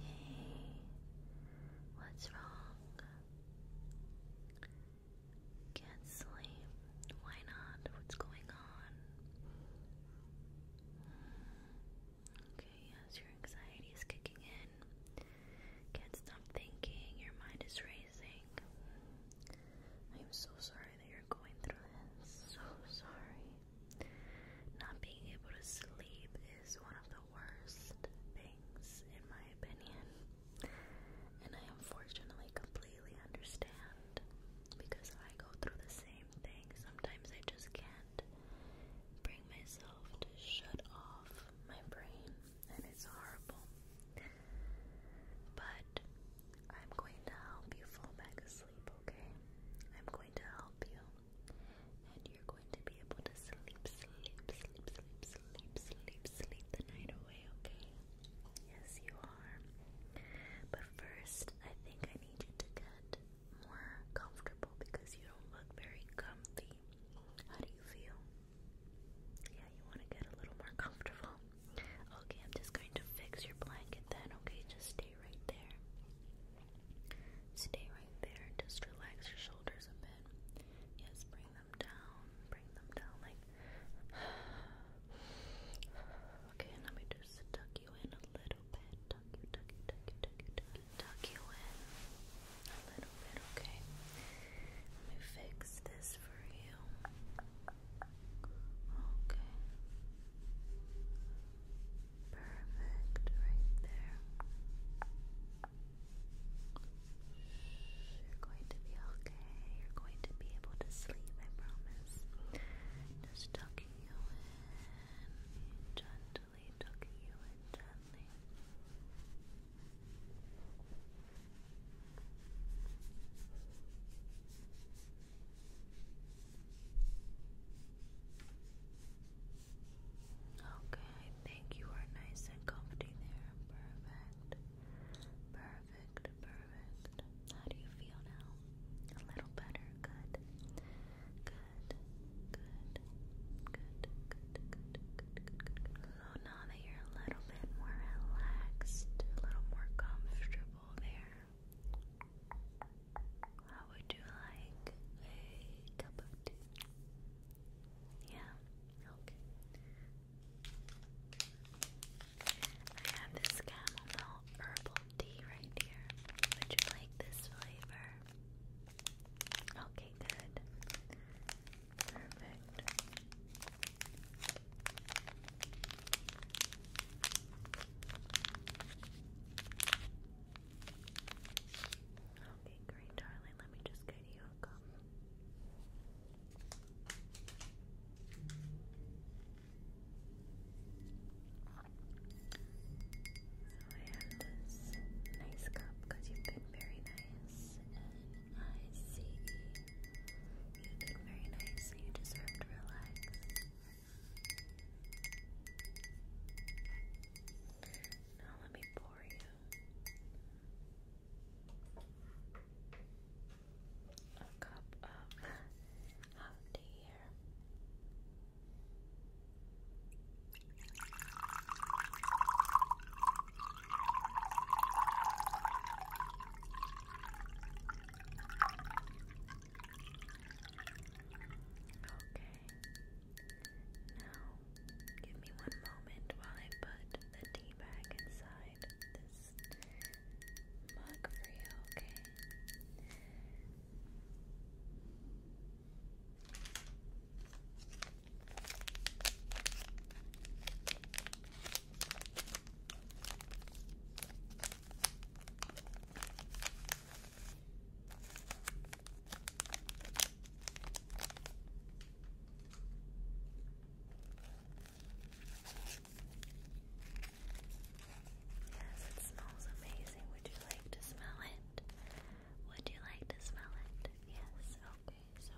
Hey, what's wrong? Can't sleep. Why not? What's going on? Okay, yes, your anxiety is kicking in. Can't stop thinking. Your mind is racing. I'm so sorry that you're going through this. So sorry. Not being able to sleep is one of the worst things, in my opinion, and I unfortunately completely understand because I go through the same thing. Sometimes I just can't bring myself to shut off my brain, and it's horrible. But I'm going to help you fall back asleep, okay? I'm going to help you and you're going to be able to sleep, sleep, sleep, sleep, sleep, sleep, sleep the night away, okay? Yes, you are. But first, I think I need you to get more comfortable because you don't look very comfy. How do you feel? Yeah, you want to get a little more comfortable. Okay, I'm just going to fix your blanket then, okay? Just stay right there. Stay right there. Just relax your shoulders a bit. Yes, bring them down. Bring them down like. okay, let me just tuck you in a little bit. Tuck you, tuck you, tuck you, tuck you, tuck you, tuck you in a little bit. Okay. Let me fix this for you. Okay. Perfect, right there. You're going to be okay. You're going to be able to sleep, I promise. Just tucking you in, gently tucking you in, gently. Okay, I think you are nice and comfy there. Perfect. Perfect, perfect. How do you feel now? A little better. Good. Good. Good. Good. Good. Good. Good. Good. Good. Good. So now that you're a little bit more relaxed, a little more comfortable there. How would you like a cup of tea? Yeah, okay. I have this chamomile herbal tea right here. Would you like this flavor? Okay, good. Perfect. Okay, great, darling. Let me just get you a gum. So I have this nice cup because you've been very nice, I see you've been very nice, you deserve to relax. Now let me pour you a cup of hot tea here. Okay. Now, give me one moment while I put the tea bag inside this mug for you, okay? Yes, it smells amazing. Would you like to smell it? Would you like to smell it? Yes, okay, so.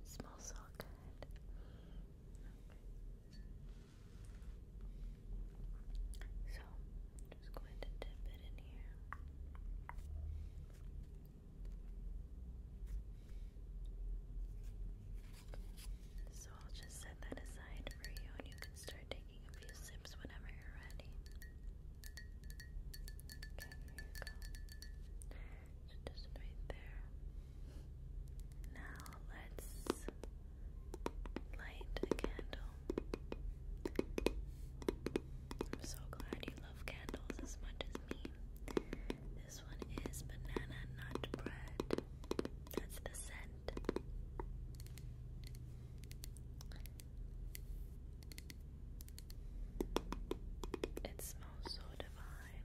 It smells so good. So, just going to dip it in here. So, I'll just set that aside for you and you can start taking taking a few sips whenever you're ready. Okay, here you go. just right there. Now let's light a candle. I'm so glad you love candles as much as me. This one is banana nut bread. That's the scent. It smells so divine.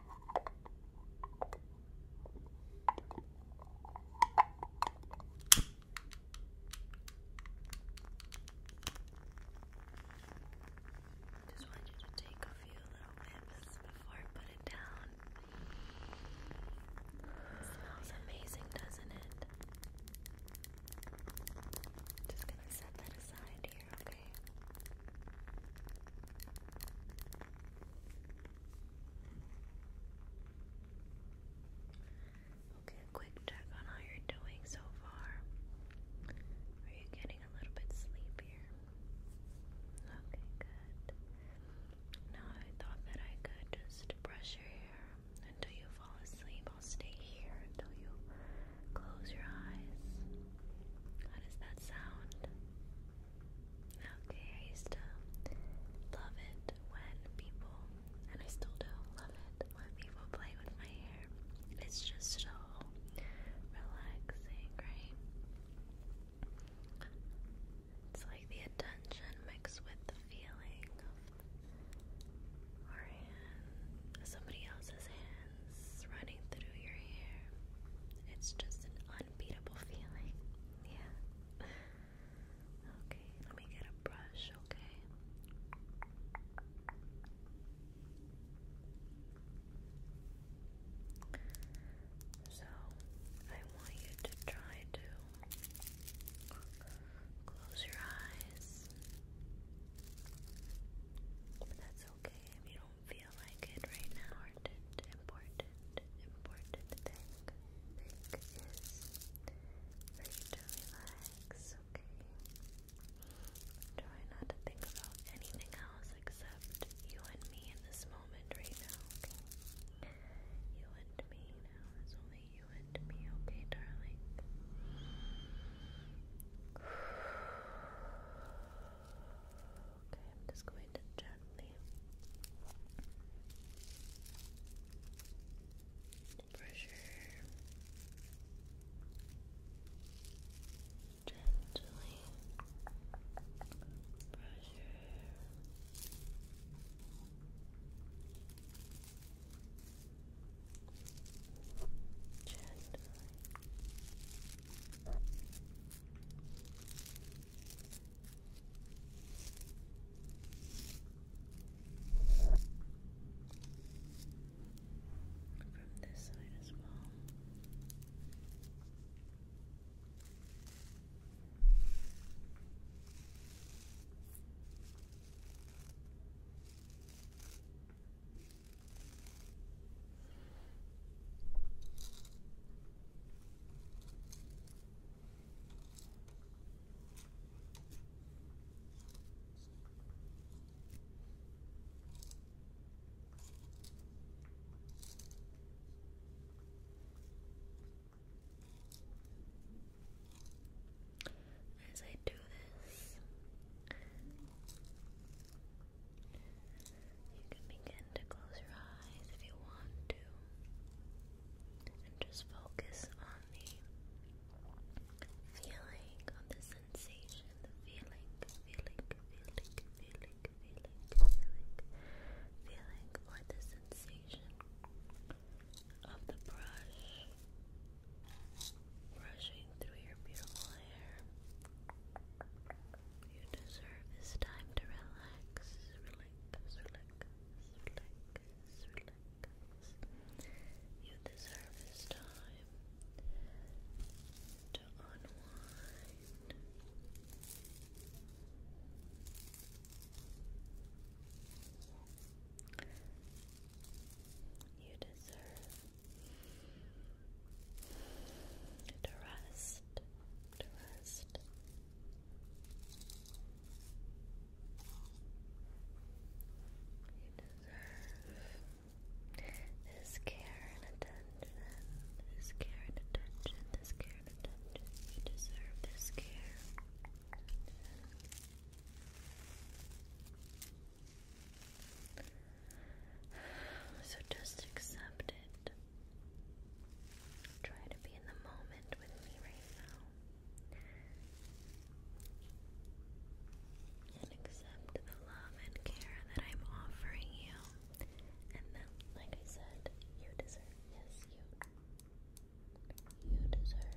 Just want you to take a few little whips before I put it down. smells amazing, doesn't it? Just gonna set that aside here okay? Okay, quick check on how you're doing so far. Are you getting a little bit sleepier? Okay, good. Now I thought that I could just brush your hair until you fall asleep. I'll stay here until you Close your eyes. How does that sound? Okay, I used to love it when people, and I still do love it when people play with my hair. It's just so relaxing, right? It's like the attention mixed with the feeling of our somebody else's hand running through your hair. It's just an unbeatable feeling. Yeah. Okay, let me get a brush, okay? So, I want you to try to close your eyes. But that's okay if you don't feel like it right now. Important, important, important thing. Thing is for you to relax, okay? Try not to think about anything else except you and me in this moment right now, okay? You and me now. It's only you and me, okay, darling? Okay, I'm just going to gently pressure gently pressure gently from this side as well. Okay. As I do this, you can begin to close your eyes if you want to, and just focus on the feeling, on the sensation, the feeling, feeling, feeling, feeling, feeling, feeling, feeling, or the sensation of the brush brushing through your beautiful hair. You deserve this time to relax, relax, relax, relax, relax. You deserve this time to unwind. You deserve to rest, to rest. You deserve this care and attention, this care and attention, this care and attention. You deserve this care. So just accept it. Try to be in the moment with me right now. And accept the love and care that I'm offering you. And that, like I said, you deserve. Yes, you. You deserve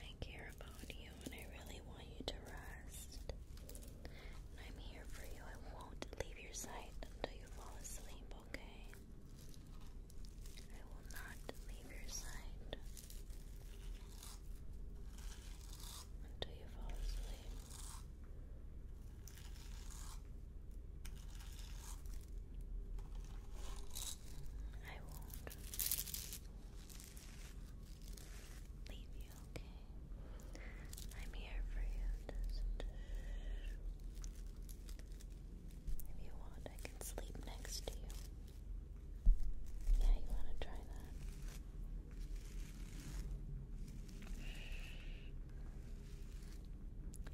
I care about you and I really want you to rest. I'm here for you. I won't leave your side until you fall asleep, okay? I will not leave your side until you fall asleep. I won't leave you, I'm here for you. Uh, if you want, I can sleep next to you. Yeah, you want to try that?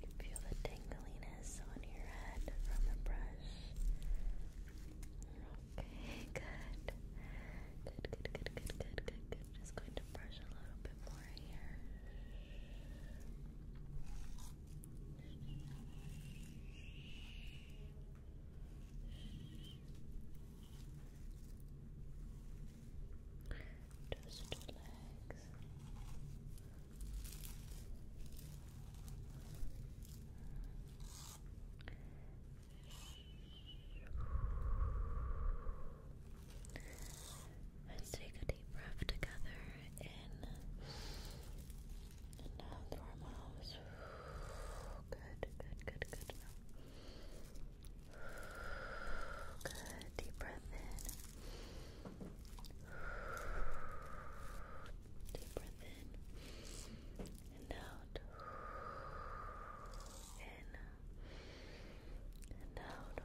You feel the tingling dryness on good. Good, good, good, good, good, good, Just going to brush a little bit more here. Just relax, Let's take a deep breath together in out through Good, good, good, good. Good, deep breath in. Deep breath in and out. In and out. Good.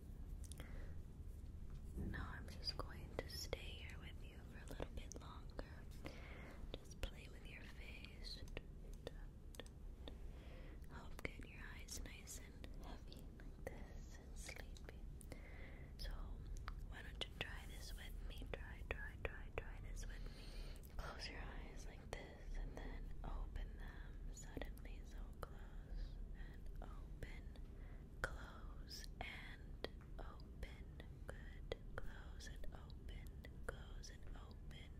Now I'm just going to stay here with you for a little bit longer. Just play with your face. Help get your eyes nice and heavy like this and sleepy. So why don't you try this with me? Try, try, try, try this with me. Close your eyes like this and then open them suddenly. So close and open. Close and open. Good. Close and open. Close and open.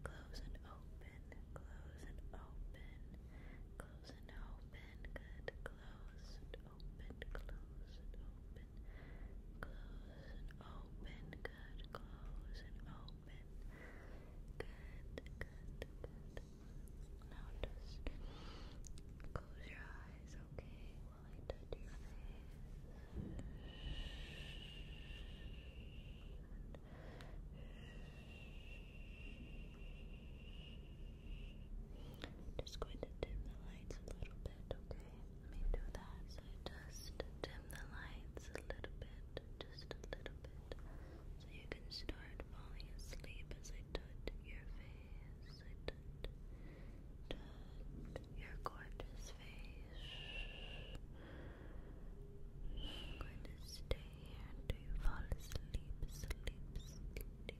Close and open. Close and open. Close and open. Good. Close and open. Close and open. Close and open. Good. Close and open. Good. Good. Good. Now just close your eyes, okay, while I touch your face. Just going to dim the lights a little bit, okay? Let me do that. So just dim the lights a little bit, just a little bit, so you can start falling asleep as I touch your face. Touch your gorgeous face. I'm going to stay here until you fall asleep, sleep, sleep, sleep,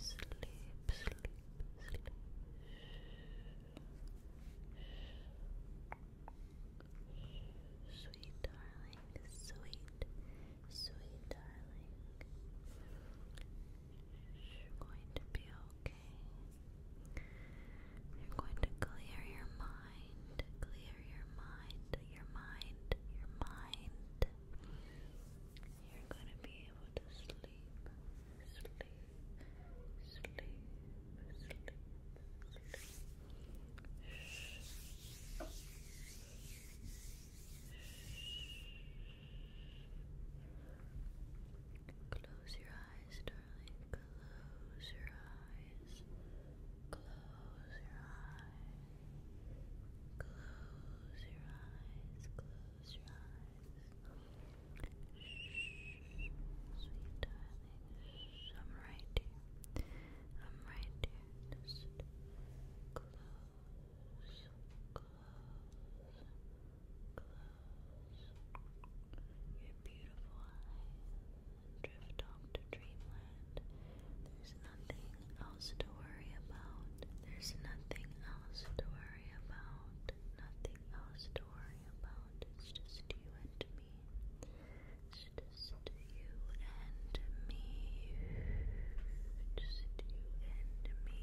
sleep, sleep. Sweet darling, sweet, sweet darling. You're going to be okay. You're going to clear your mind, clear your mind, your mind, your mind. You're going to be able to sleep, sleep, sleep, sleep, sleep. Close your eyes, darling. Close your eyes. Close your eyes. Close your eyes. Close your eyes. Shh, sweet darling. Shh, I'm right here. I'm right here. Just close your beautiful eyes and drift off to dreamland. There's nothing else to worry about. There's nothing else to worry about. Nothing else to worry about. It's just you and me. It's just just you and me. Just you and me.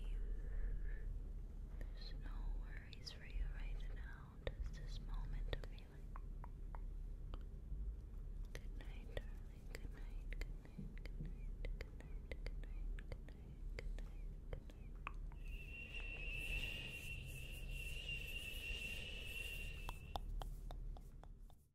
There's no worries for you right now. Just this moment of healing. Good night, darling. Good night. Good night. Good night. Good night. Good night. Good night. Good night. Good night. Good